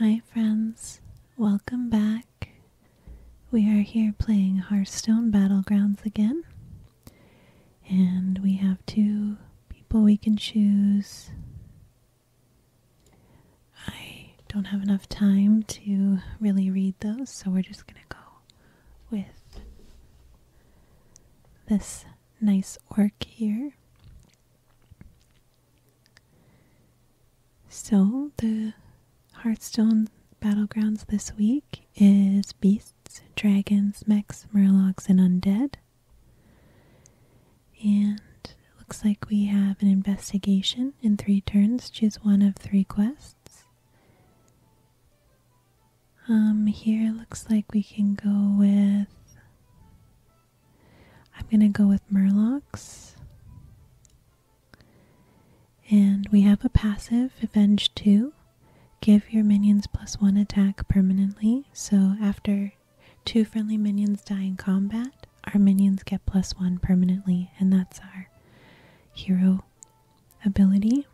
Hi, friends. Welcome back. We are here playing Hearthstone Battlegrounds again. And we have two people we can choose. I don't have enough time to really read those, so we're just going to go with this nice orc here. So, the Hearthstone battlegrounds this week is beasts, dragons, mechs, murlocs, and undead. And looks like we have an investigation in three turns. Choose one of three quests. Um, here looks like we can go with. I'm gonna go with Murlocs. And we have a passive, Avenge 2. Give your minions plus one attack permanently. So after two friendly minions die in combat, our minions get plus one permanently, and that's our hero ability.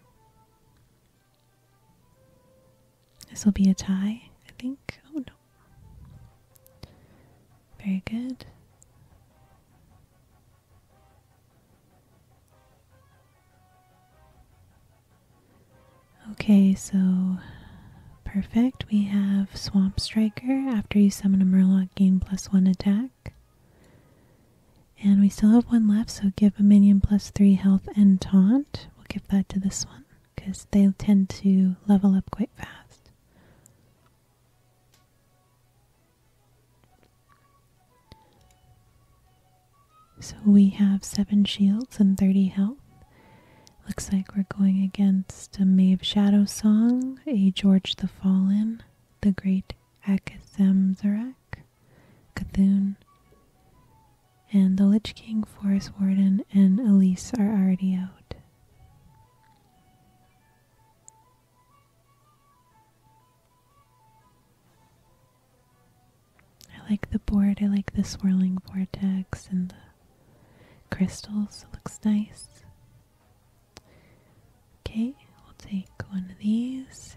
This will be a tie, I think. Oh no. Very good. Okay, so perfect. We have Swamp Striker. After you summon a Murloc, gain plus one attack. And we still have one left, so give a minion plus three health and taunt. We'll give that to this one because they tend to level up quite fast. So we have seven shields and 30 health. Looks like we're going against a Mave Shadow Song, a George the Fallen, the Great Akathamzarak, Cthulhu, and the Lich King, Forest Warden, and Elise are already out. I like the board, I like the swirling vortex and the crystals, it looks nice. Okay, we'll take one of these.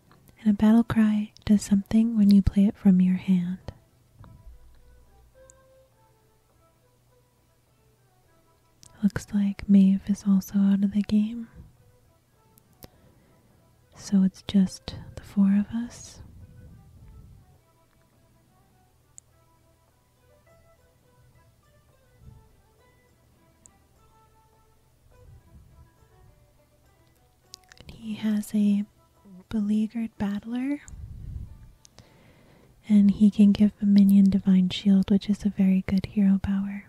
and a battle cry does something when you play it from your hand. Looks like Maeve is also out of the game. So it's just the four of us he has a beleaguered battler. And he can give a minion divine shield, which is a very good hero power.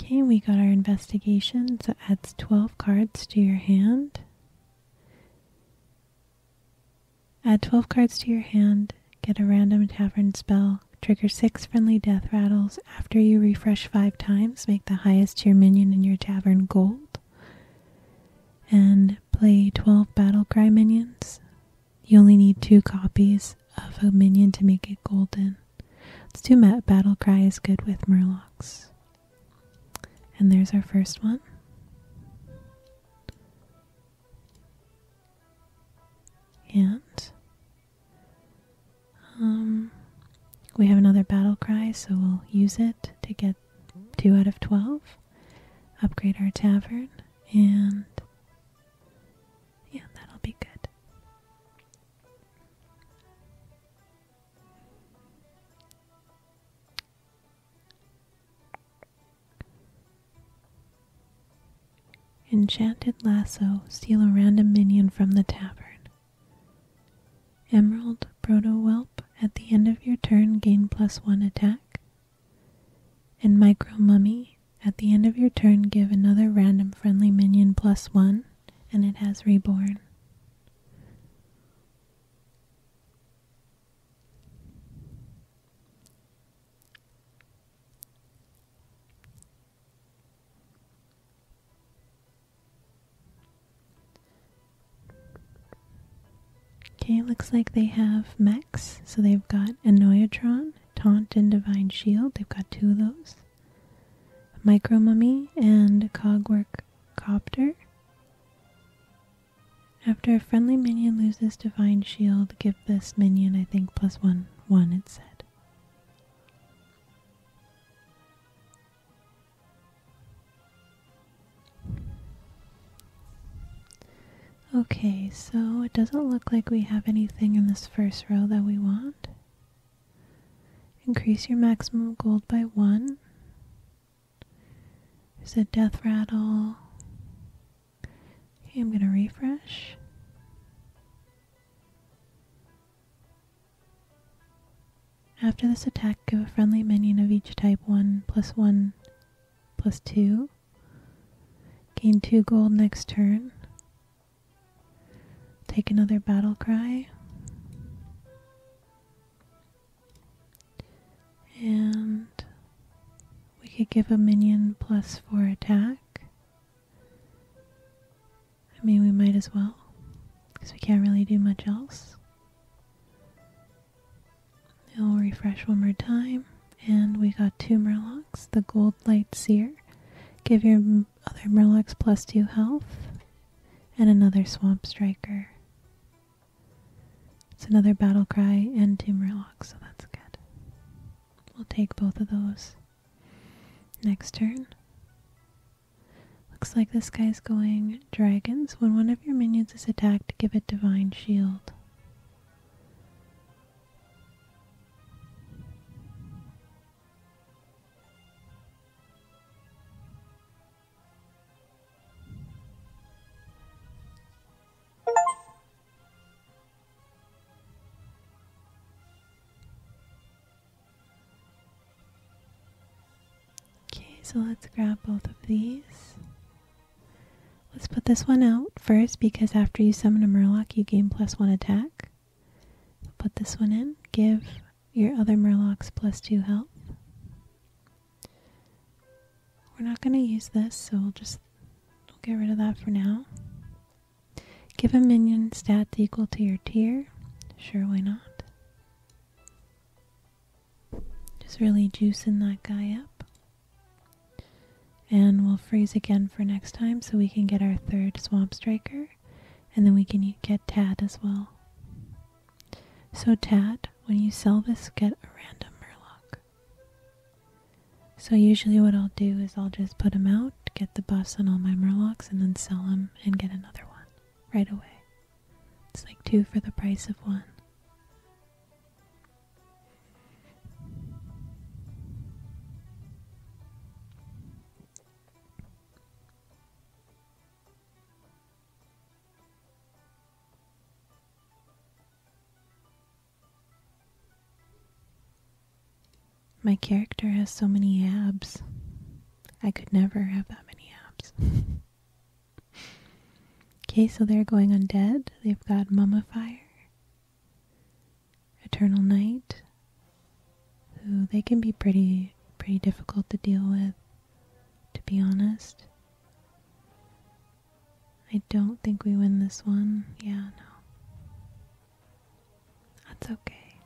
Okay, we got our investigation, so adds 12 cards to your hand. Add 12 cards to your hand, get a random tavern spell, trigger 6 friendly death rattles. After you refresh 5 times, make the highest tier minion in your tavern gold. And play 12 battle cry minions. You only need 2 copies of a minion to make it golden. Let's do battle cry is good with murlocs. And there's our first one. And um, we have another battle cry, so we'll use it to get 2 out of 12, upgrade our tavern, and yeah, that'll be good. Enchanted Lasso steal a random minion from the tavern. Emerald proto whelp at the end of your turn gain plus one attack. And Micro Mummy at the end of your turn give another random friendly minion plus one and it has reborn. Okay, looks like they have Max. So they've got Annoyatron, Taunt, and Divine Shield. They've got two of those. Micro Mummy and Cogwork Copter. After a friendly minion loses Divine Shield, give this minion, I think, plus one, one, it said. Okay, so it doesn't look like we have anything in this first row that we want. Increase your maximum gold by one. There's a death rattle. I'm going to refresh. After this attack, give a friendly minion of each type 1 plus 1 plus 2. Gain 2 gold next turn. Take another battle cry. And we could give a minion plus 4 attack. I mean, we might as well, because we can't really do much else. I'll refresh one more time, and we got two murlocs, the gold light seer. Give your other murlocs plus two health, and another swamp striker. It's another battle cry and two murlocs, so that's good. We'll take both of those. Next turn. Looks like this guy's going dragons. When one of your minions is attacked, give it divine shield. Okay, so let's grab both of these. Let's put this one out first because after you summon a Murloc, you gain plus one attack. Put this one in. Give your other Murlocs plus two health. We're not going to use this, so we'll just get rid of that for now. Give a minion stats equal to your tier. Sure, why not? Just really juicing that guy up. And we'll freeze again for next time so we can get our third Swamp Striker. And then we can get Tad as well. So Tad, when you sell this, get a random Murloc. So usually what I'll do is I'll just put them out, get the buffs on all my murlocs, and then sell them and get another one right away. It's like two for the price of one. My character has so many abs. I could never have that many abs. okay, so they're going undead. They've got Mummifier, Eternal Night, who they can be pretty pretty difficult to deal with, to be honest. I don't think we win this one. Yeah, no. That's okay.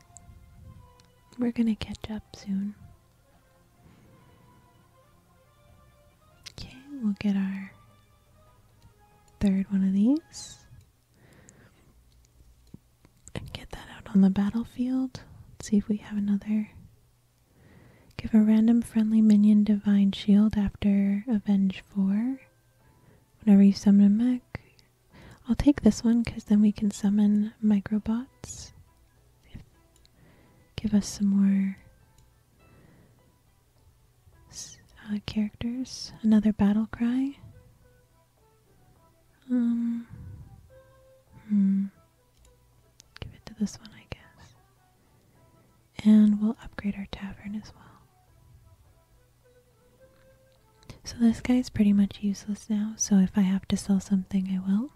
We're gonna catch up soon. Okay, we'll get our third one of these and get that out on the battlefield. see if we have another. Give a random friendly minion divine shield after Avenge 4 whenever you summon a mech. I'll take this one because then we can summon microbots. Give us some more uh, characters. Another battle cry. Um. Hmm. Give it to this one, I guess. And we'll upgrade our tavern as well. So this guy is pretty much useless now, so if I have to sell something, I will.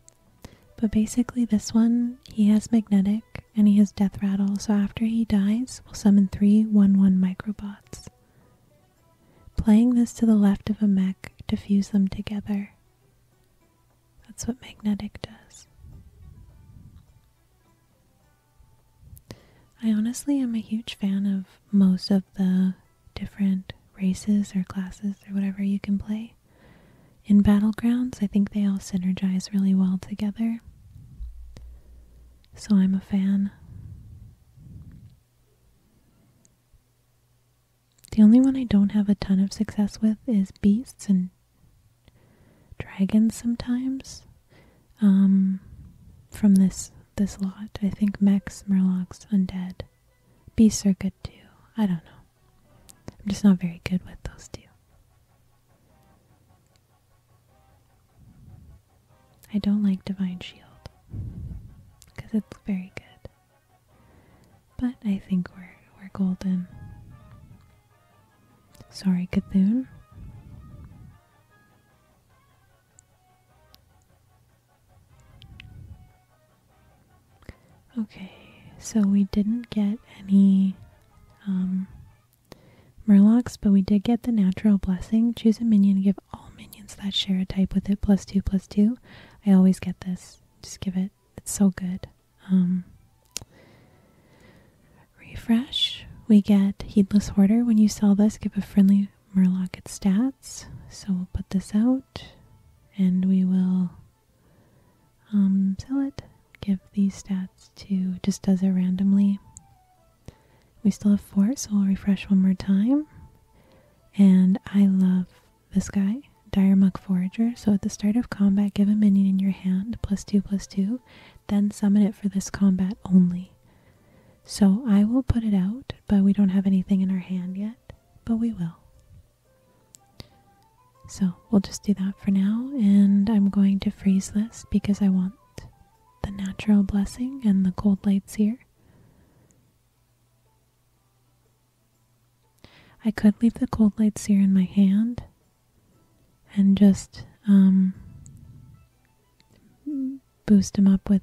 But basically this one, he has Magnetic, and he has Death Rattle, so after he dies, we'll summon three 1-1 Microbots. Playing this to the left of a mech to fuse them together. That's what Magnetic does. I honestly am a huge fan of most of the different races or classes or whatever you can play in Battlegrounds. I think they all synergize really well together. So I'm a fan. The only one I don't have a ton of success with is beasts and dragons sometimes um, from this this lot. I think Max Murlocs, Undead. Beasts are good too. I don't know. I'm just not very good with those two. I don't like Divine Shield because it's very good. But I think we're we're golden. Sorry, Cthulhu. Okay, so we didn't get any um, but we did get the Natural Blessing. Choose a minion, give all minions that share a type with it plus two, plus two. I always get this. Just give it. It's so good. Um, refresh. We get Heedless Hoarder. When you sell this, give a friendly Murloc at stats. So we'll put this out and we will um, sell it. Give these stats to, just does it randomly. We still have four, so we'll refresh one more time. And I love this guy, Diremuck Forager. So at the start of combat, give a minion in your hand, plus two, plus two, then summon it for this combat only. So I will put it out, but we don't have anything in our hand yet, but we will. So we'll just do that for now, and I'm going to freeze this because I want the natural blessing and the cold lights here. I could leave the cold lights here in my hand and just um, boost him up with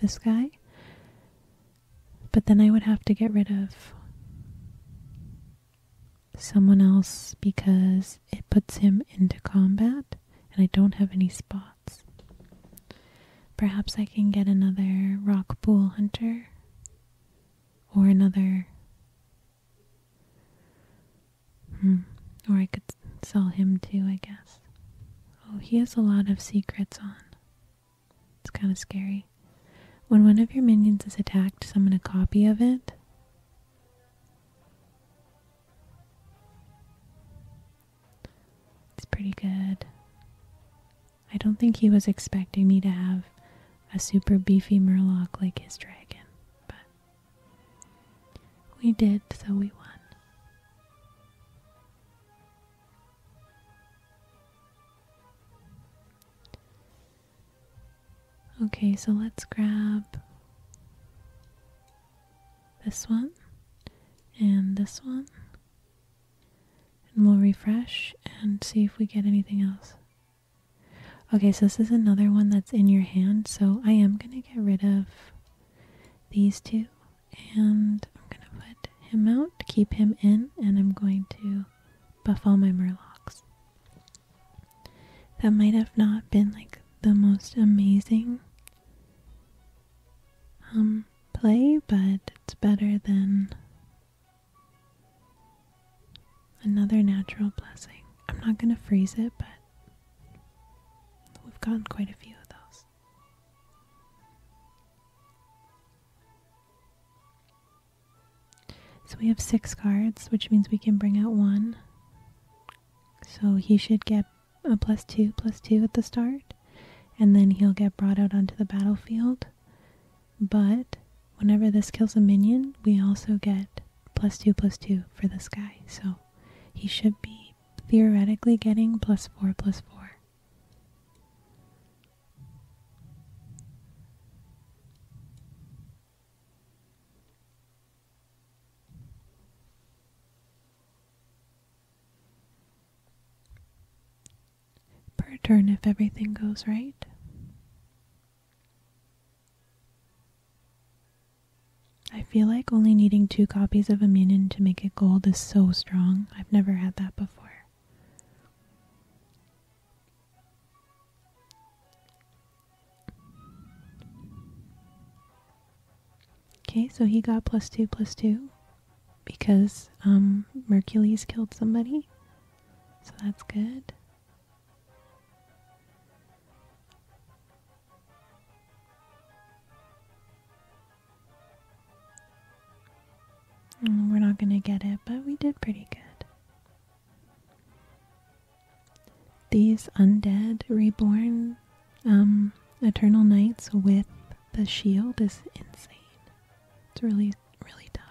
this guy. But then I would have to get rid of someone else because it puts him into combat and I don't have any spots. Perhaps I can get another rock bull hunter or another. Hmm. Or I could sell him too, I guess. Oh, he has a lot of secrets on. It's kind of scary. When one of your minions is attacked, summon a copy of it. It's pretty good. I don't think he was expecting me to have a super beefy murloc like his dragon, but we did, so we won. Okay, so let's grab this one and this one. And we'll refresh and see if we get anything else. Okay, so this is another one that's in your hand, so I am going to get rid of these two and I'm going to put him out, keep him in, and I'm going to buff all my murlocs. That might have not been like the most amazing um play, but it's better than another natural blessing. I'm not going to freeze it, but we've gotten quite a few of those. So we have six cards, which means we can bring out one. So he should get a plus two, plus two at the start, and then he'll get brought out onto the battlefield. But whenever this kills a minion, we also get plus two, plus two for this guy. So he should be theoretically getting plus 4 plus 4. Per turn if everything goes right. I feel like only needing two copies of Immunin to make it gold is so strong. I've never had that before. Okay, so he got plus two, plus two because um, Mercules killed somebody. So that's good. Mm, we're not going to get it, but we did pretty good. These undead reborn um, Eternal Knights with the shield is insane. It's really, really tough.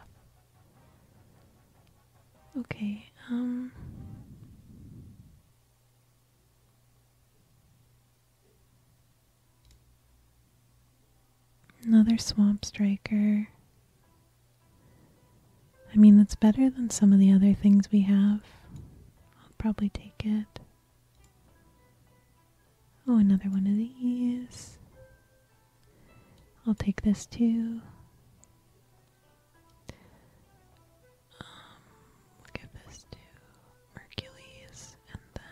Okay, um. Another Swamp Striker. I mean, that's better than some of the other things we have. I'll probably take it. Oh, another one of these. I'll take this too. Um, look this too. Hercules, and then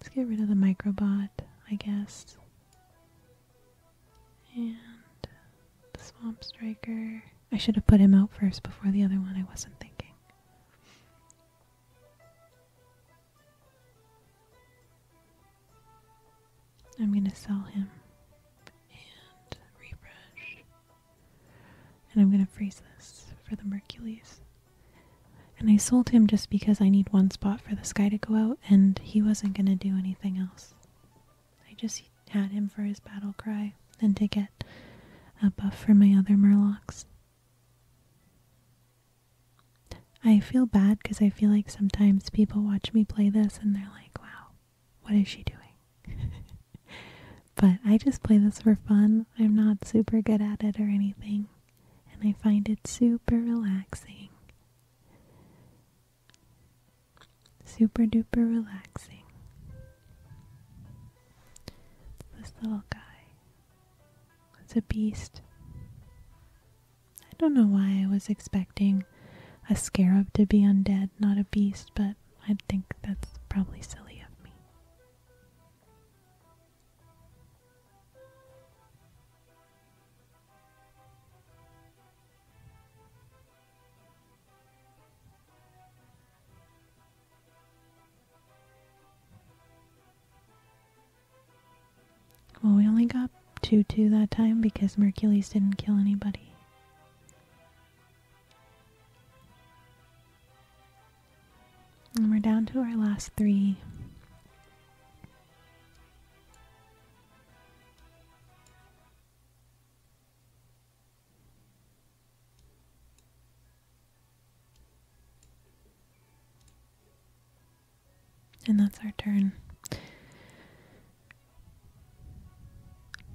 let's get rid of the microbot, I guess. And the Swamp Striker. I should have put him out first before the other one, I wasn't thinking. I'm gonna sell him and refresh. And I'm going to freeze this for the Mercules. And I sold him just because I need one spot for the sky to go out, and he wasn't going to do anything else. I just had him for his battle cry and to get a buff for my other murlocs. I feel bad because I feel like sometimes people watch me play this and they're like, wow, what is she doing? but I just play this for fun. I'm not super good at it or anything, and I find it super relaxing. Super duper relaxing. This little guy. It's a beast. I don't know why I was expecting a scarab to be undead, not a beast, but I think that's probably silly of me. Well, we only got 2 2 that time because Mercules didn't kill anybody. And we're down to our last three. And that's our turn.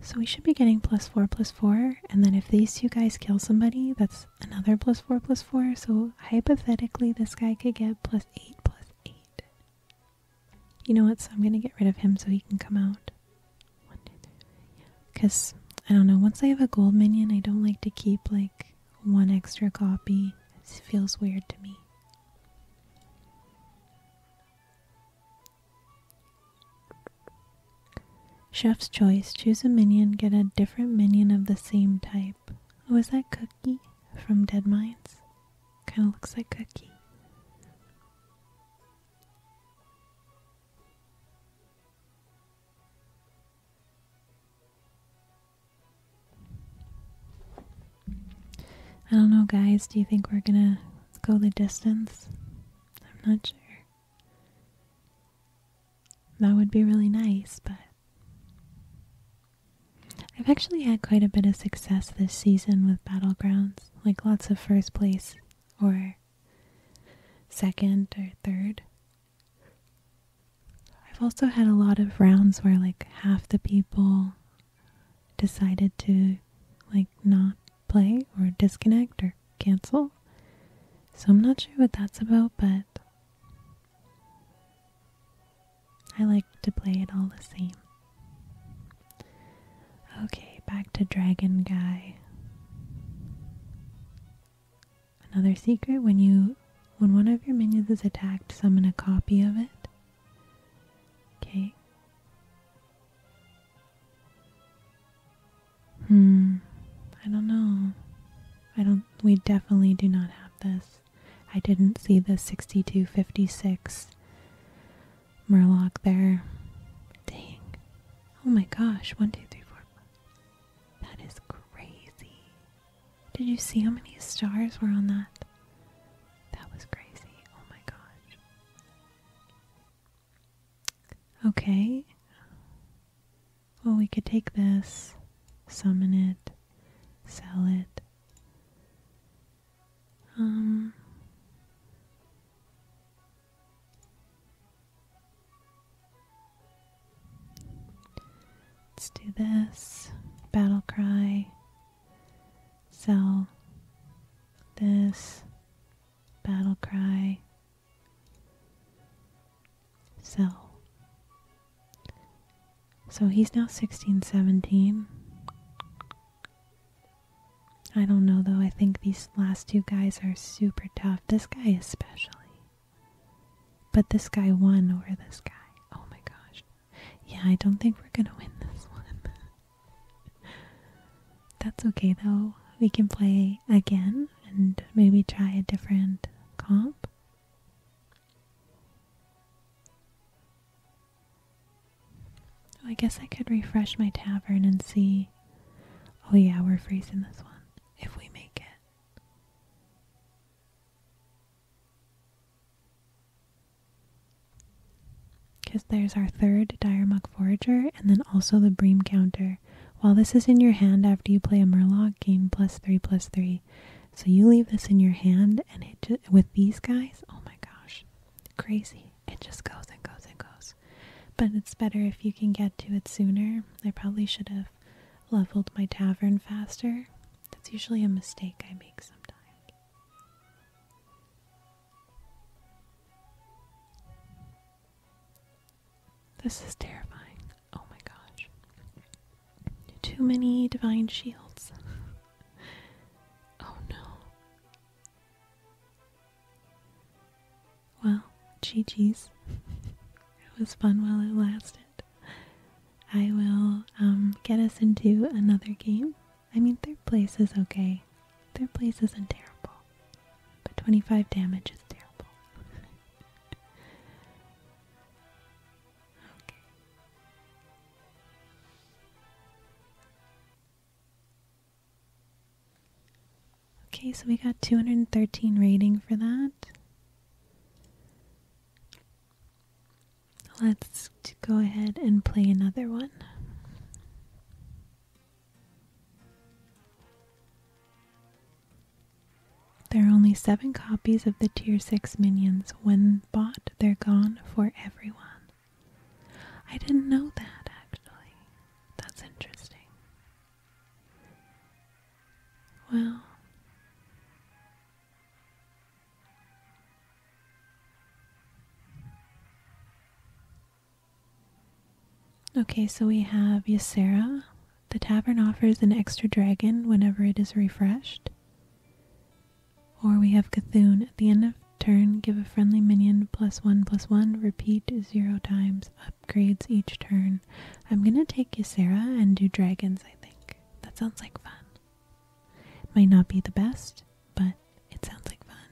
So we should be getting plus four, plus four, and then if these two guys kill somebody, that's another plus 4 plus 4. So hypothetically, this guy could get plus 8 plus 8. You know what? So I'm going to get rid of him so he can come out. Because, I don't know, once I have a gold minion, I don't like to keep like one extra copy. It feels weird to me. Chef's choice choose a minion, get a different minion of the same type. Was oh, that Cookie from Dead Mines? Kind of looks like Cookie. I don't know, guys. Do you think we're gonna go the distance? I'm not sure. That would be really nice, but I've actually had quite a bit of success this season with Battlegrounds, like lots of first place or second or third. I've also had a lot of rounds where like half the people decided to like not play or disconnect or cancel. So I'm not sure what that's about, but I like to play it all the same. Okay, back to Dragon Guy. Another secret when you when one of your minions is attacked, summon a copy of it. Okay. Hmm. I don't know. I don't. We definitely do not have this. I didn't see the 6256 Murloc there. Dang. Oh my gosh. One, two, three, four. Five. That is crazy. Did you see how many stars were on that? That was crazy. Oh my gosh. Okay. Well, we could take this, summon it, sell it. Um. Let's do this. Battle cry. Sell this. Battle cry. So So he's now 16, 17. I don't know though. I think these last two guys are super tough. This guy especially. But this guy won over this guy. Oh my gosh. Yeah, I don't think we're going to win this one. That's okay though. We can play again and maybe try a different comp. I guess I could refresh my tavern and see. Oh, yeah, we're freezing this one if we make it. Because there's our third Diremuk Forager and then also the Bream Counter while this is in your hand after you play a Murloc, gain plus three plus three. So you leave this in your hand, and it with these guys, oh my gosh, crazy! It just goes and goes and goes. But it's better if you can get to it sooner. I probably should have leveled my tavern faster. That's usually a mistake I make sometimes. This is terrifying. Oh my gosh. Too many divine shields. oh no. Well, GG's. it was fun while it lasted. I will um, get us into another game. I mean, third place is okay. Third place isn't terrible. But 25 damage is terrible. okay. Okay, so we got 213 rating for that. Let's go ahead and play another one. There are only seven copies of the Tier 6 minions. When bought, they're gone for everyone. I didn't know that, actually. That's interesting. Well, okay, so we have Ysera the tavern offers an extra dragon whenever it is refreshed. Or we have Cthulhu. At the end of turn, give a friendly minion plus one plus one, repeat zero times, upgrades each turn. I'm gonna take Ysera and do dragons, I think. That sounds like fun. Might not be the best, but it sounds like fun.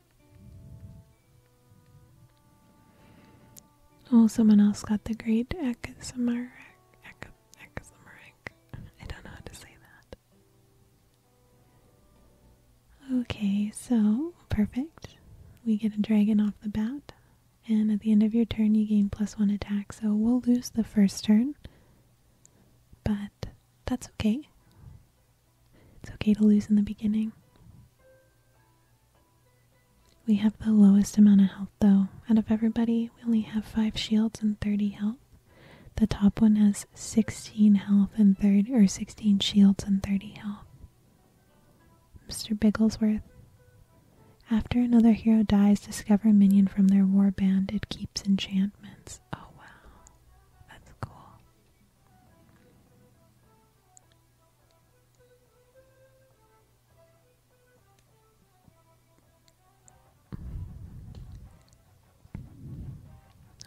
Oh, someone else got the great Akasamar. I don't know how to say that. Okay, so perfect. We get a dragon off the bat, and at the end of your turn, you gain plus one attack. So we'll lose the first turn, but that's okay. It's okay to lose in the beginning. We have the lowest amount of health though. Out of everybody, we only have 5 shields and 30 health. The top one has 16 health and 30 or 16 shields and 30 health. Mr. Bigglesworth. After another hero dies, discover a minion from their war band. It keeps enchantments. Oh wow. That's cool.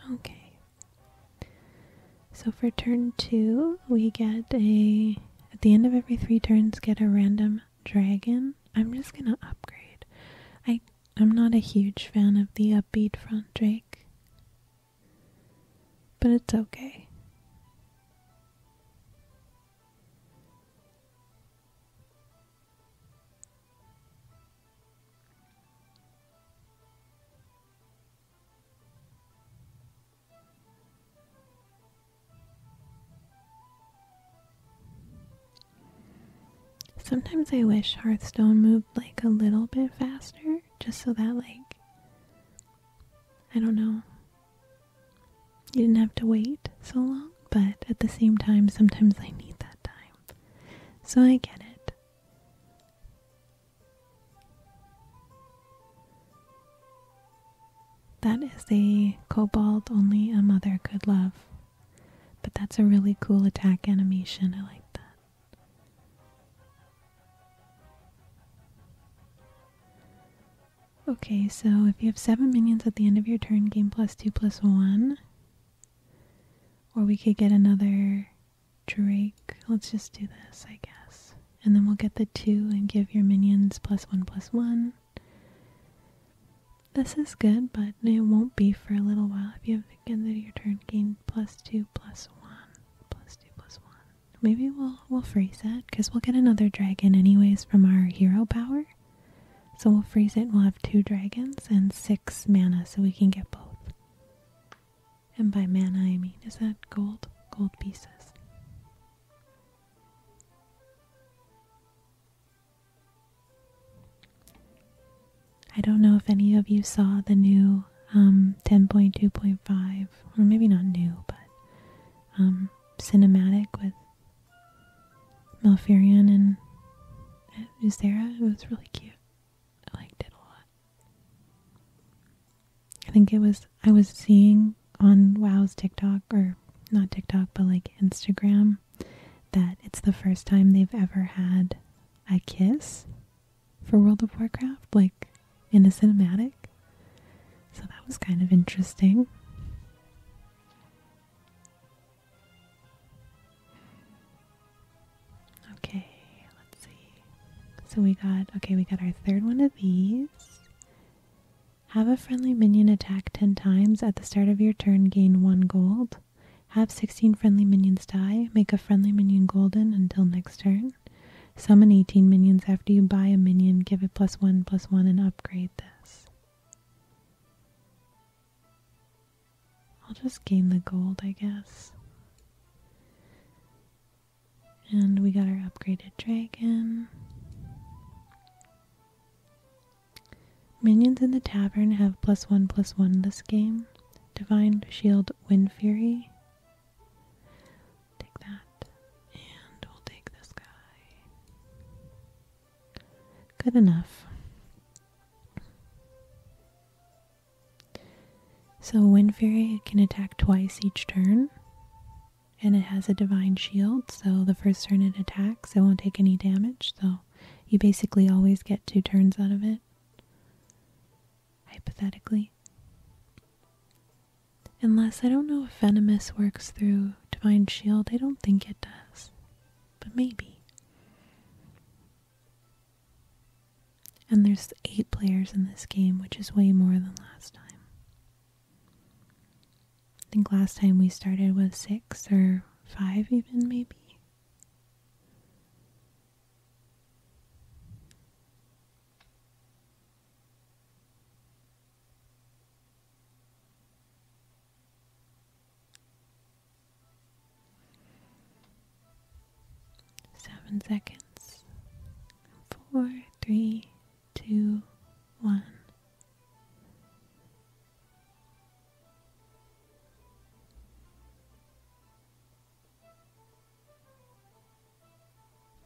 Okay. So for turn two, we get a. At the end of every three turns, get a random dragon. I'm just gonna upgrade. I I'm not a huge fan of the upbeat front Drake. But it's okay. Sometimes I wish Hearthstone moved like a little bit faster just so that like I don't know. You didn't have to wait so long, but at the same time, sometimes I need that time. So I get it. That is a cobalt only a mother could love. But that's a really cool attack animation. I like that. Okay, so if you have seven minions at the end of your turn, gain plus two plus one. Or we could get another Drake. Let's just do this, I guess. And then we'll get the two and give your minions plus one plus one. This is good, but it won't be for a little while. If you have at the end of your turn, gain plus two plus one. Plus two plus one. Maybe we'll we'll freeze it because we'll get another dragon anyways from our hero power. So we'll freeze it. We'll have two dragons and six mana, so we can get both. And by mana, I mean is that gold, gold pieces. I don't know if any of you saw the new um, 10.2.5, or maybe not new, but um, cinematic with Malfurion and Ysera. It was really cute. I liked it a lot. I think it was, I was seeing on WoW's TikTok, or not TikTok, but like Instagram, that it's the first time they've ever had a kiss for World of Warcraft, like in a cinematic. So that was kind of interesting. Okay, let's see. So we got, okay, we got our third one of these. Have a friendly minion attack 10 times. At the start of your turn, gain 1 gold. Have 16 friendly minions die. Make a friendly minion golden until next turn. Summon 18 minions. After you buy a minion, give it plus 1 plus 1 and upgrade this. I'll just gain the gold, I guess. And we got our upgraded dragon. Minions in the tavern have plus one plus one this game. Divine Shield Wind Fury. Take that. And we'll take this guy. Good enough. So Wind Fairy can attack twice each turn. And it has a divine shield, so the first turn it attacks, it won't take any damage, so you basically always get two turns out of it hypothetically. Unless I don't know if Venomous works through Divine Shield, I don't think it does. But maybe. And there's eight players in this game, which is way more than last time. I think last time we started with six or five, even maybe. Seven seconds. Four, three, two, one.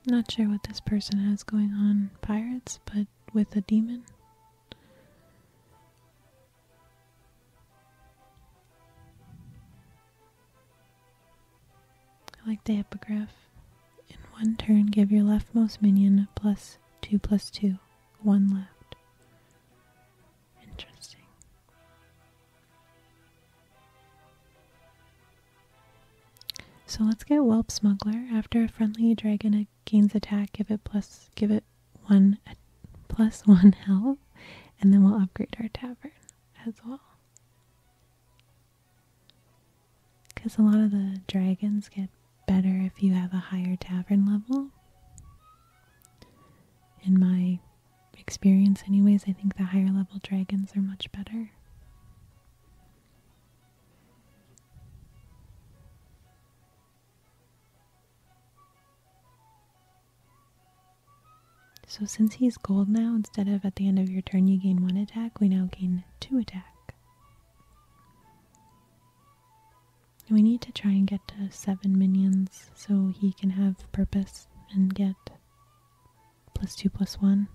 Not sure what this person has going on, pirates, but with a demon. I like the epigraph. In one turn, give your leftmost minion plus two plus two, one left. Interesting. So let's get Whelp Smuggler. After a friendly dragon gains attack, give it plus give it one plus one health, and then we'll upgrade our tavern as well. Because a lot of the dragons get better if you have a higher tavern level. In my experience, anyways, I think the higher level dragons are much better. So since he's gold now, instead of at the end of your turn you gain one attack, we now gain two attack. We need to try and get to seven minions so he can have purpose and get plus two plus one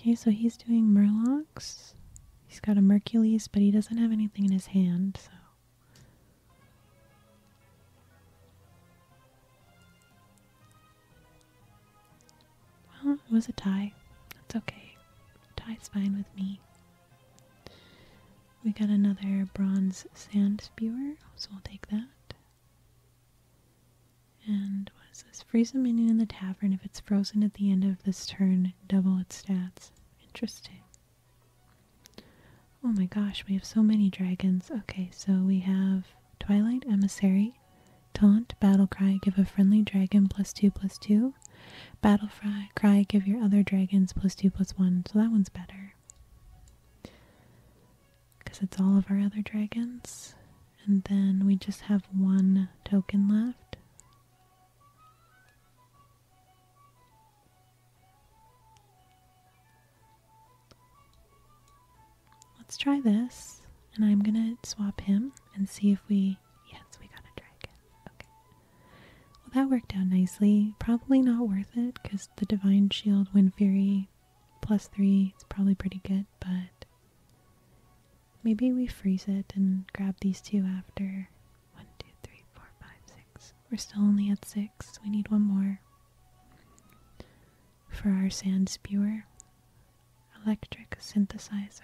Okay, so he's doing Murlocs. He's got a Mercules, but he doesn't have anything in his hand, so well, it was a tie. That's okay. A tie's fine with me. We got another bronze sand spewer, so we'll take that. And what is this? Freeze a minion in the tavern. If it's frozen at the end of this turn, double its stats. Interesting. Oh my gosh, we have so many dragons. Okay, so we have Twilight Emissary, Taunt, Battle Cry, give a friendly dragon plus two plus two. Battle Fry, Cry, give your other dragons plus two plus one. So that one's better. Because it's all of our other dragons. And then we just have one token left. Let's try this, and I'm gonna swap him and see if we. Yes, we got a dragon. Okay. Well, that worked out nicely. Probably not worth it because the Divine Shield, Wind Fury, plus three It's probably pretty good, but maybe we freeze it and grab these two after. One, two, three, four, five, six. We're still only at six six. We need one more. For our sand spewer, electric synthesizer.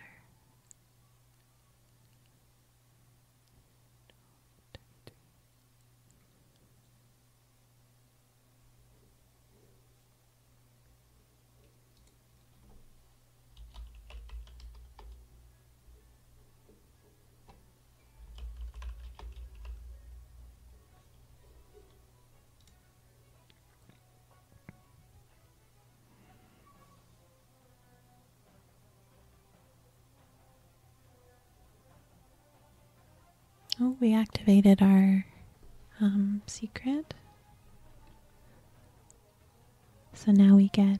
Oh, we activated our um, secret. So now we get,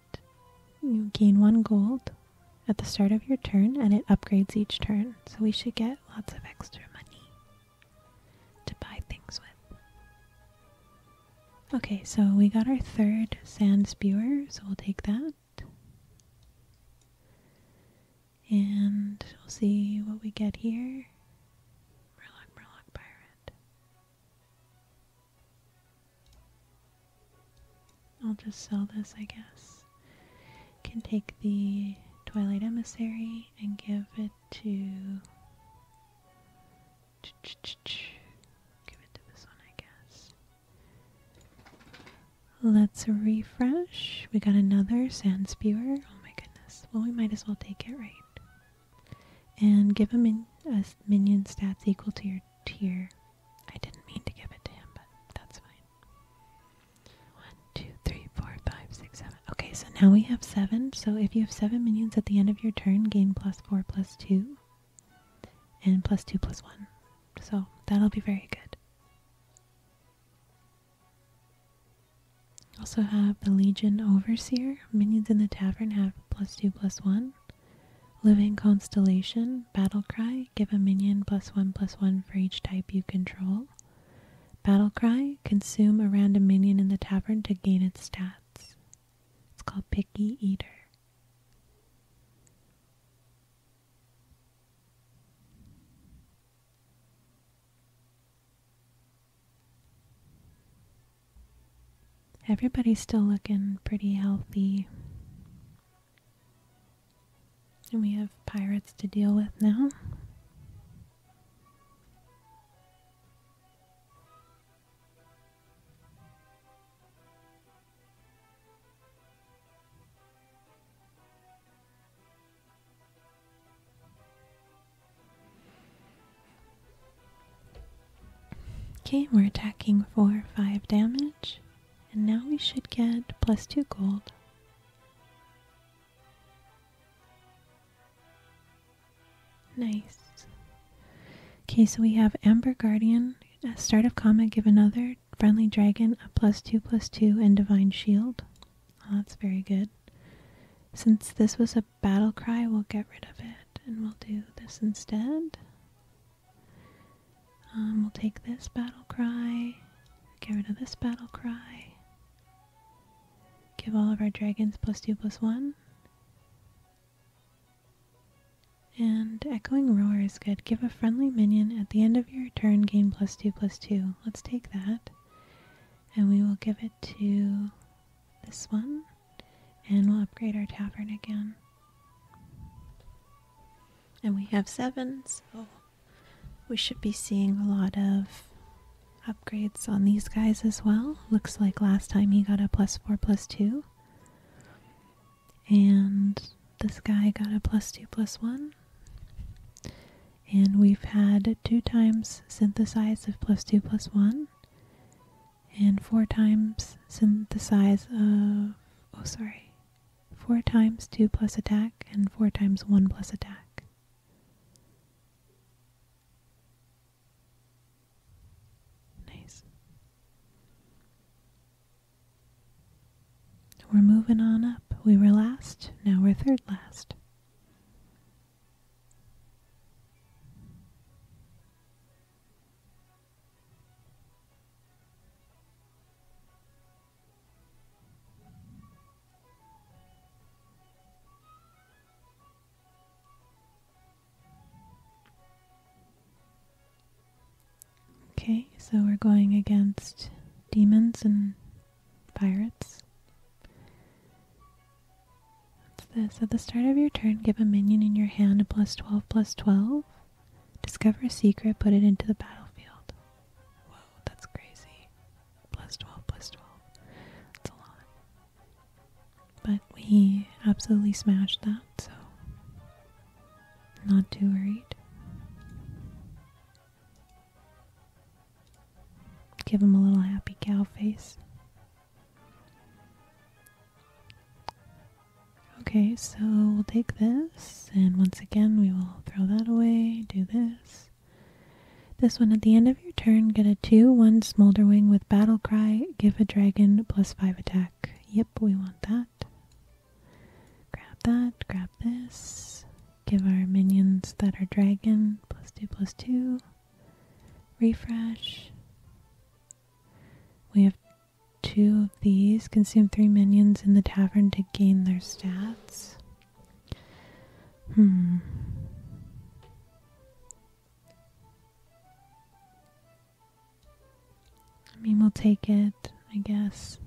you gain one gold at the start of your turn and it upgrades each turn. So we should get lots of extra money to buy things with. Okay, so we got our third sand spewer, so we'll take that. And we'll see what we get here. Murloc, Murloc, Pirate. I'll just sell this, I guess. Can take the Twilight Emissary and give it to. give it to this one, I guess. Let's refresh. We got another Sand Spewer. Oh my goodness. Well, we might as well take it, right? And give him a minion stats equal to your tier. I didn't mean to give it to him, but that's fine. One, two, three, four, five, six, seven. Okay, so now we have seven. So if you have seven minions at the end of your turn, gain plus four, plus two, and plus two, plus one. So that'll be very good. Also have the Legion Overseer. Minions in the tavern have plus two, plus one. Living Constellation Battle cry: Give a minion plus one plus one for each type you control. Battle cry: Consume a random minion in the tavern to gain its stats. It's called Picky Eater. Everybody's still looking pretty healthy. And we have pirates to deal with now. Okay, we're attacking for 5 damage, and now we should get plus 2 gold Nice. Okay, so we have Amber Guardian, a start of combat, give another friendly dragon a plus two plus two and divine shield. Oh, that's very good. Since this was a battle cry, we'll get rid of it and we'll do this instead. Um, we'll take this battle cry, get rid of this battle cry, give all of our dragons plus two plus one. And Echoing Roar is good. Give a friendly minion at the end of your turn gain plus two plus two. Let's take that. And we will give it to this one. And we'll upgrade our tavern again. And we have seven, so oh we should be seeing a lot of upgrades on these guys as well. Looks like last time he got a plus 4 plus 2. And this guy got a plus 2 plus 1. And we've had two times synthesize of plus 2 plus 1. And four times synthesize of. Oh, sorry. 4 times 2 plus attack and 4 times 1 plus attack. Nice. We're moving on up. We were last, now we're third last. Okay, so we're going against demons and pirates. What's this? At the start of your turn, give a minion in your hand a plus 12 plus 12. Discover a secret, put it into the battlefield. Whoa, that's crazy. Plus 12, plus 12. That's a lot. But we absolutely smashed that, so not too worried. Give him a little happy cow face. Okay, so we'll take this, and once again we will throw that away, do this. This one at the end of your turn, get a 2 1 Smolder Wing with Battle Cry. Give a dragon plus 5 attack. Yep, we want that. Grab that, grab this. Give our minions that are dragon plus 2 plus 2. Refresh. We have two of these. Consume three minions in the tavern to gain their stats. Hmm. I mean, we'll take it, I guess.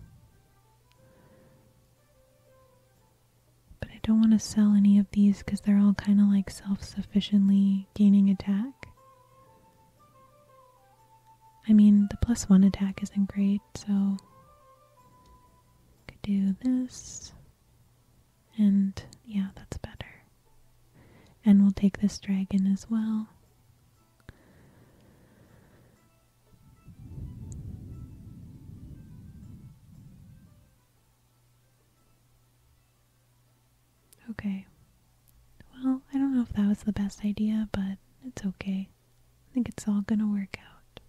But I don't want to sell any of these because they're all kind of like self sufficiently gaining attack. I mean, the plus one attack isn't great, so could do this. And yeah, that's better. And we'll take this dragon as well. Okay. Well, I don't know if that was the best idea, but it's okay. I think it's all going to work out.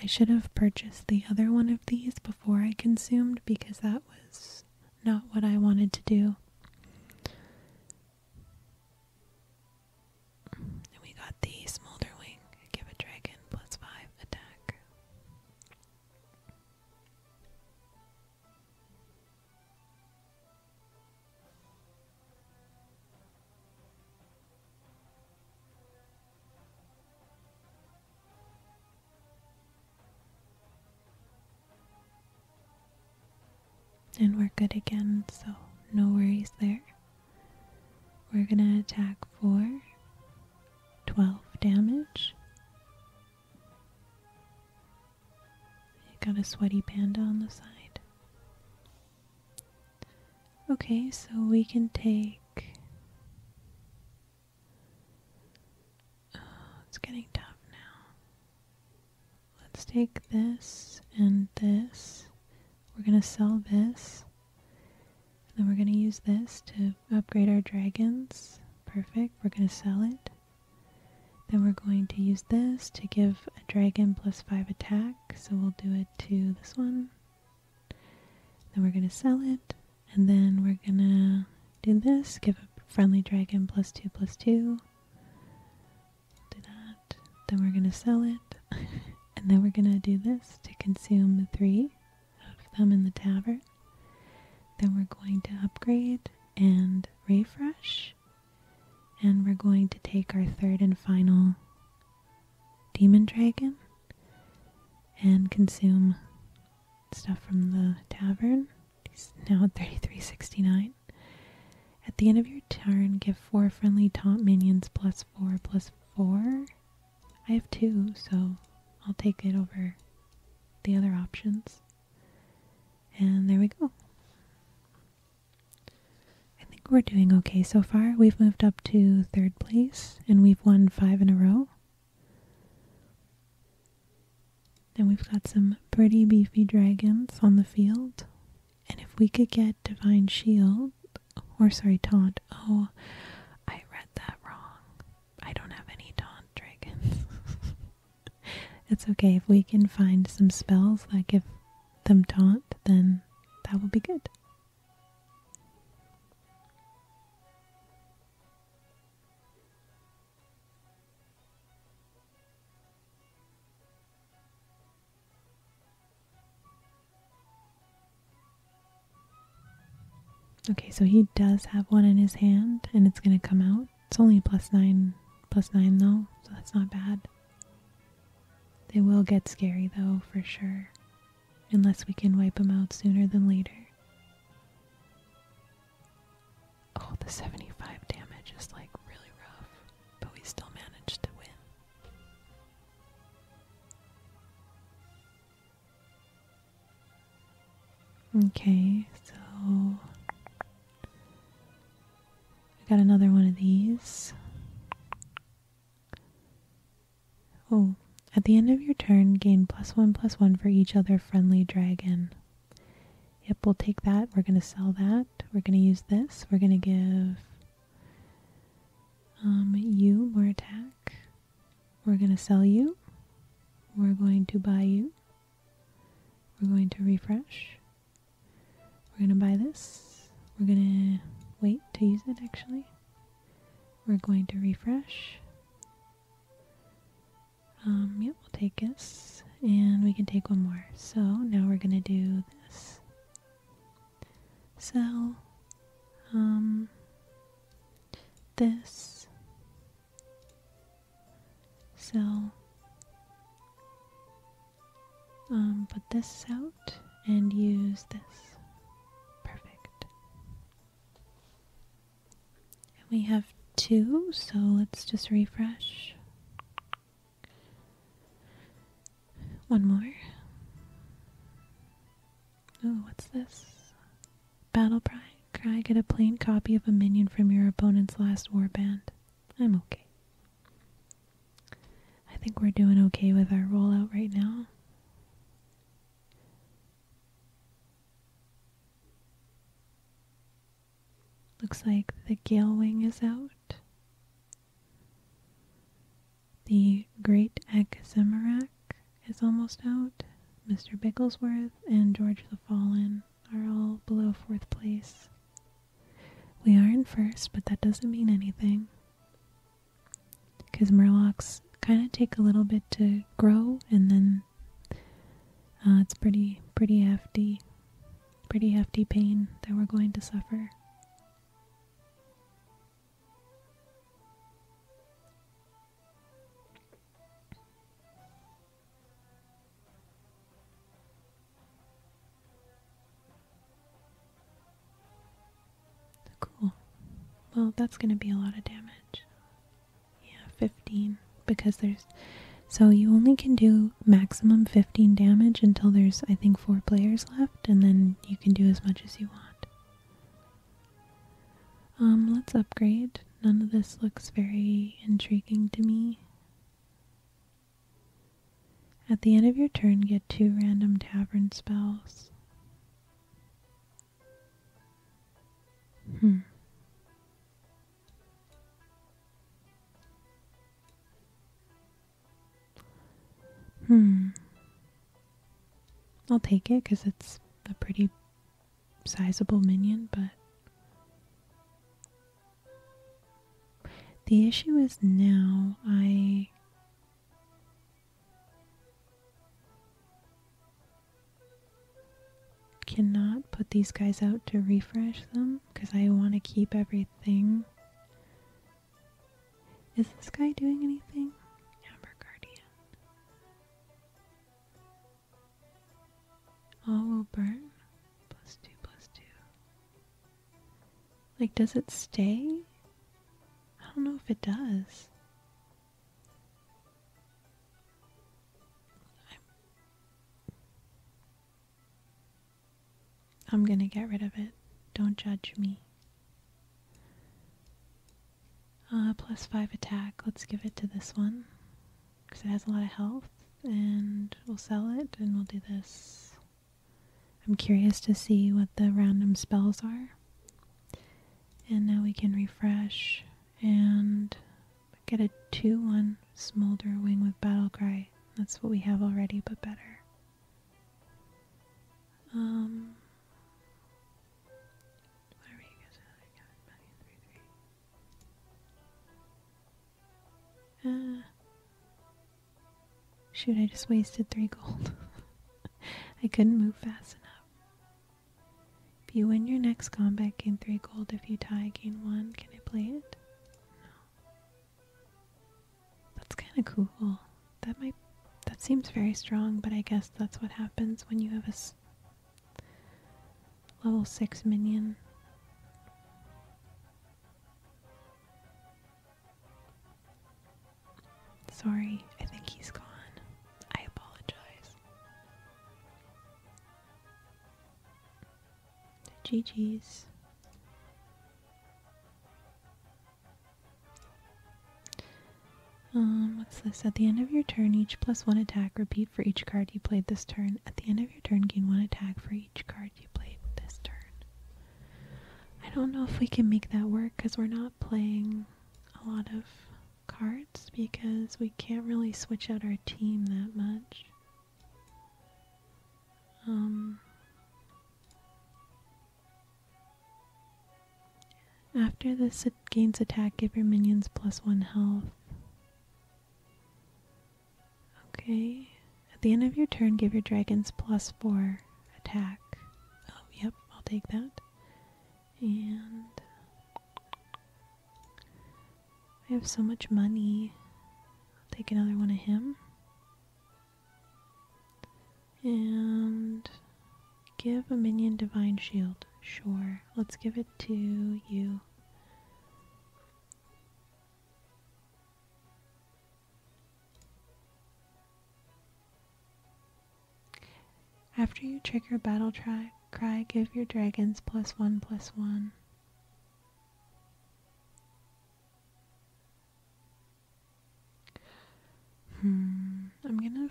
I should have purchased the other one of these before I consumed because that was not what I wanted to do. And we got the Smolder Give a dragon plus 5 attack. And we're good again, so no worries there. We're gonna attack for 12 damage. You got a sweaty panda on the side. Okay, so we can take. Oh, it's getting tough now. Let's take this and this. We're gonna sell this. And then we're gonna use this to upgrade our dragons. Perfect. We're gonna sell it. Then we're going to use this to give a dragon plus 5 attack, so we'll do it to this one. Then we're going to sell it, and then we're going to do this, give a friendly dragon plus 2 plus 2. Do that. Then we're going to sell it, and then we're going to do this to consume the 3 of them in the tavern. Then we're going to upgrade and refresh. And we're going to take our third and final demon dragon and consume stuff from the tavern. He's now at 3369. At the end of your turn, give four friendly taunt minions plus four plus four. I have two, so I'll take it over the other options. And there we go. I think we're doing okay so far. We've moved up to third place and we've won five in a row. And we've got some pretty beefy dragons on the field. And if we could get Divine Shield, or sorry, Taunt. Oh, I read that wrong. I don't have any Taunt dragons. it's okay. If we can find some spells that give them taunt, then that will be good. Okay, so he does have one in his hand and it's going to come out. It's only plus nine, plus nine though, so that's not bad. They will get scary though, for sure. Unless we can wipe them out sooner than later. Oh, the 75 damage is like really rough, but we still managed to win. Okay, so I got another one of these. Oh, at the end of your turn, gain plus one plus one for each other friendly dragon. Yep, we'll take that. We're going to sell that. We're going to use this. We're going to give um, you more attack. We're going to sell you. We're going to buy you. We're going to refresh. We're going to buy this. We're going to wait to use it actually. We're going to refresh. Um, we'll take this. And we can take one more. So now we're going to do this. Sell. Um, this. So, um, put this out and use this. Perfect. And we have two, so let's just refresh. One more. Oh, what's this? Battle Cry. Cry, get a plain copy of a minion from your opponent's last warband. I'm okay. I think we're doing okay with our rollout right now. Looks like the gale is out. The great Akazemarak is almost out. Mr. Bigglesworth and George the Fallen are all below fourth place. We are in first, but that doesn't mean anything. Because Murlocs kind of take a little bit to grow, and then uh, it's pretty, pretty hefty, pretty hefty pain that we're going to suffer. Cool. Well, that's going to be a lot of damage. Yeah, 15. Because there's. So you only can do maximum 15 damage until there's, I think, four players left, and then you can do as much as you want. Um, let's upgrade. None of this looks very intriguing to me. At the end of your turn, get two random tavern spells. Hmm. Hmm. I'll take it because it's a pretty sizable minion, but the issue is now I cannot put these guys out to refresh them because I want to keep everything. Is this guy doing anything? Amber Guardian. All will burn. Plus two, plus two. Like, does it stay? I don't know if it does. I'm gonna get rid of it. Don't judge me. Uh, plus five attack. Let's give it to this one because it has a lot of health and we'll sell it and we'll do this. I'm curious to see what the random spells are. And now we can refresh and get a 2-1 Smolder Wing with Battle Cry. That's what we have already, but better. Um... Uh, shoot, I just wasted three gold. I couldn't move fast enough. If you win your next combat, gain three gold. If you tie, gain one. Can I play it? No. That's kind of cool. That might. That seems very strong, but I guess that's what happens when you have a level six minion. Sorry, I think he's gone. I apologize. GG's. Um, what's this? At the end of your turn, each plus one attack. Repeat for each card you played this turn. At the end of your turn, gain one attack for each card you played this turn. I don't know if we can make that work because we're not playing a lot of cards because we can't really switch out our team that much. Um, after this gains attack, give your minions plus one health. Okay. At the end of your turn, give your dragons plus four attack. Oh, yep, I'll take that. And I have so much money. take another one of him. And give a minion divine shield. Sure. Let's give it to you. After you trigger battle try, cry, give your dragons plus one plus one. Hmm. I'm gonna,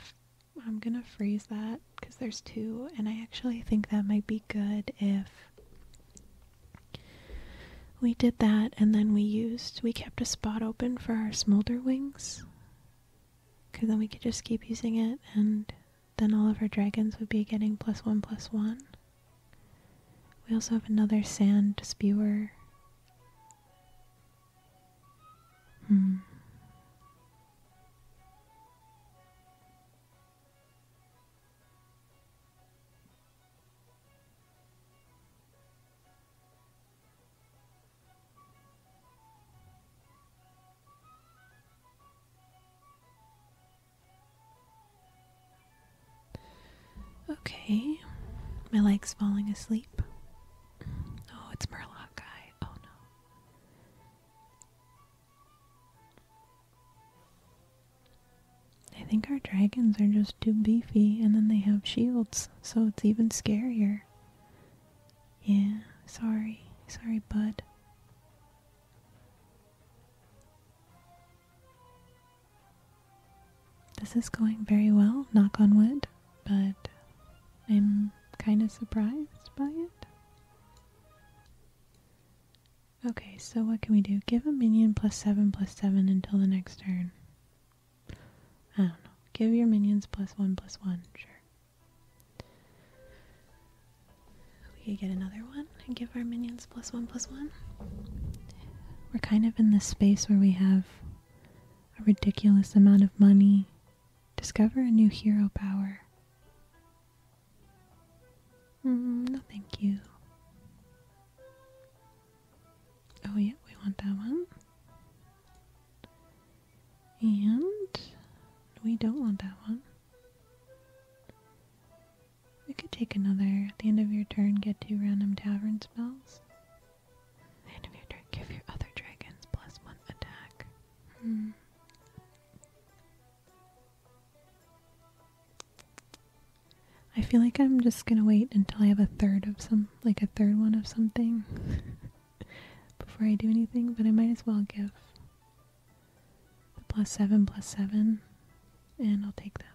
I'm gonna freeze that because there's two, and I actually think that might be good if we did that and then we used, we kept a spot open for our smolder wings. Because then we could just keep using it and then all of our dragons would be getting plus one plus one. We also have another sand spewer. Hmm. Okay, my leg's falling asleep. Oh, it's Murloc Oh no. I think our dragons are just too beefy and then they have shields, so it's even scarier. Yeah, sorry. Sorry, bud. This is going very well, knock on wood, but I'm kind of surprised by it. Okay, so what can we do? Give a minion plus 7 plus 7 until the next turn. I don't know. Give your minions plus 1 plus 1, sure. We could get another one and give our minions plus 1 plus 1. We're kind of in this space where we have a ridiculous amount of money. Discover a new hero power. Mm, no, thank you. Oh, yeah, we want that one. And we don't want that one. We could take another. At the end of your turn, get two random tavern spells. At the end of give your other dragons plus one attack. Hmm. I feel like I'm just gonna wait until I have a third of some, like a third one of something before I do anything, but I might as well give the plus seven plus seven, and I'll take this.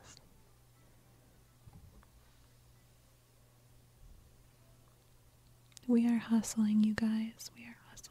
We are hustling, you guys. We are hustling.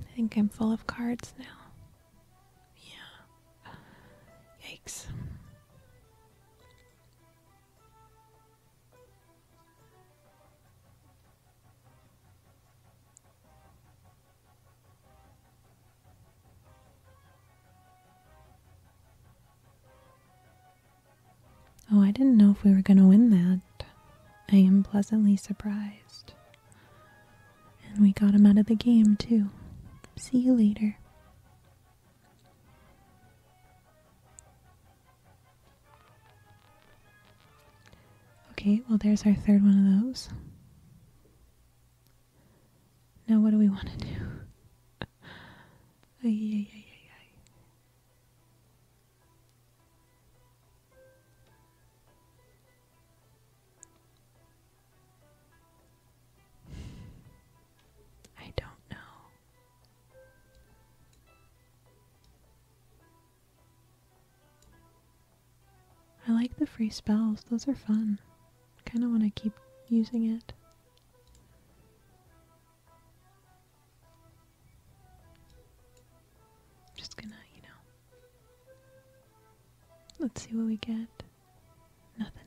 I think I'm full of cards now. Yeah. Yikes. Oh, I didn't know if we were going to win that. I am pleasantly surprised. And we got him out of the game, too. See you later. Okay, well, there's our third one of those. Now, what do we want to do? I don't know. I like the free spells, those are fun. Kind of want to keep using it. Just gonna, you know. Let's see what we get. Nothing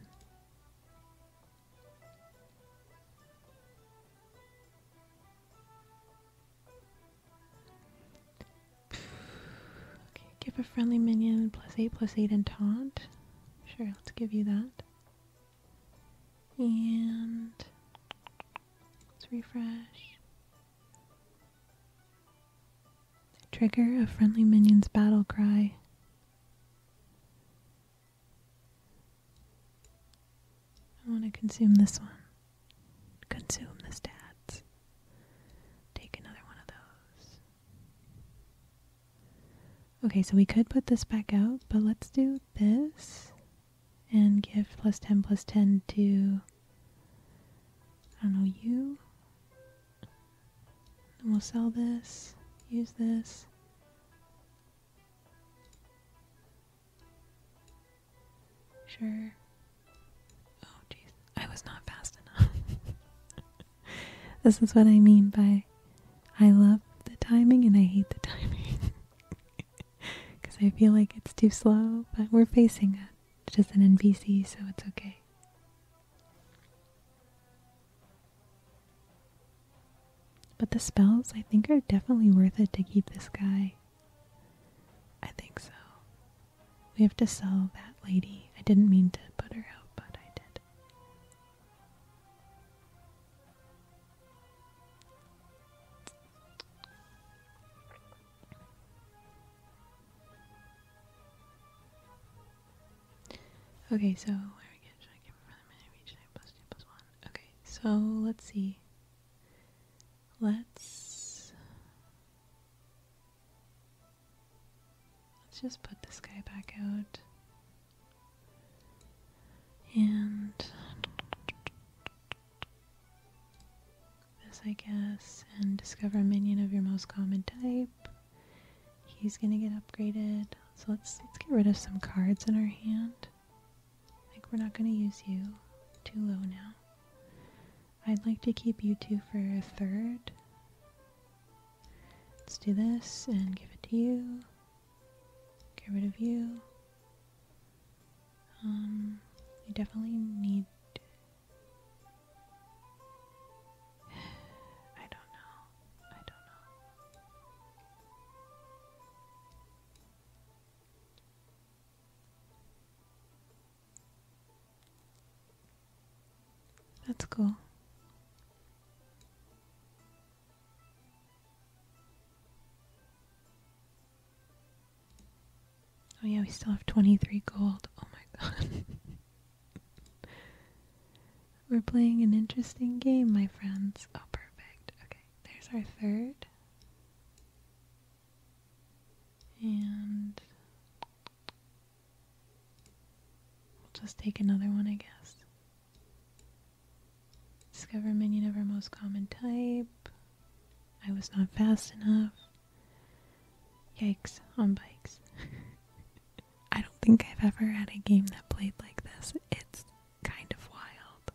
give a friendly minion plus 8 plus 8 and taunt. Sure, let's give you that. And let's refresh. Trigger a friendly minion's battle cry. I want to consume this one. Consume the stats. Take another one of those. Okay, so we could put this back out, but let's do this and give plus 10 plus 10 to, I don't know, you. And we'll sell this, use this. Sure. Oh, jeez. I was not fast enough. this is what I mean by I love the timing and I hate the timing. Because I feel like it's too slow, but we're facing it. just an NPC, so it's okay. But the spells, I think, are definitely worth it to keep this guy I think so. We have to sell that lady. I didn't mean to put her out, but I did. Okay, so where we Okay, so let's see. Let's let's just put this guy back out. And this I guess and discover a minion of your most common type. He's gonna get upgraded. So let's let's get rid of some cards in our hand. Like, we're not going to use you. Too low now. I'd like to keep you two for a third. Let's do this and give it to you. Get rid of you. Um, you definitely need. I don't know. I don't know. That's cool. Oh yeah, we still have 23 gold. Oh my god. We're playing an interesting game, my friends. Oh, perfect. Okay, there's our third. And we'll just take another one, I guess. Discover minion of our most common type. I was not fast enough. Yikes, on bikes. I don't think I've ever had a game that played like this. It's kind of wild.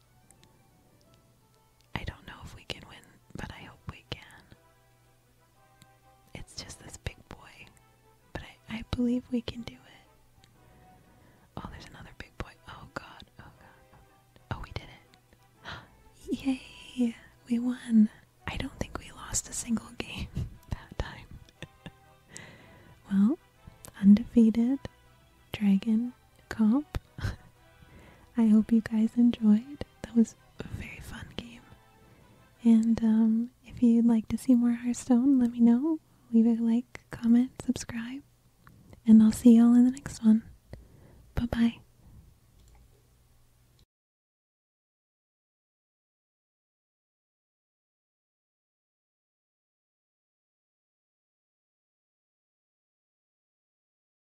I don't know if we can win, but I hope we can. It's just this big boy, but I, believe we can do it. Oh, there's another big boy. Oh god, oh god, oh god. Oh, we did it. Yay, we won. I don't think we lost a single game that time. well, undefeated dragon comp. I hope you guys enjoyed. That was a very fun game. And um, if you'd like to see more Hearthstone, let me know. Leave a like, comment, subscribe. And I'll see y'all in the next one. Bye bye.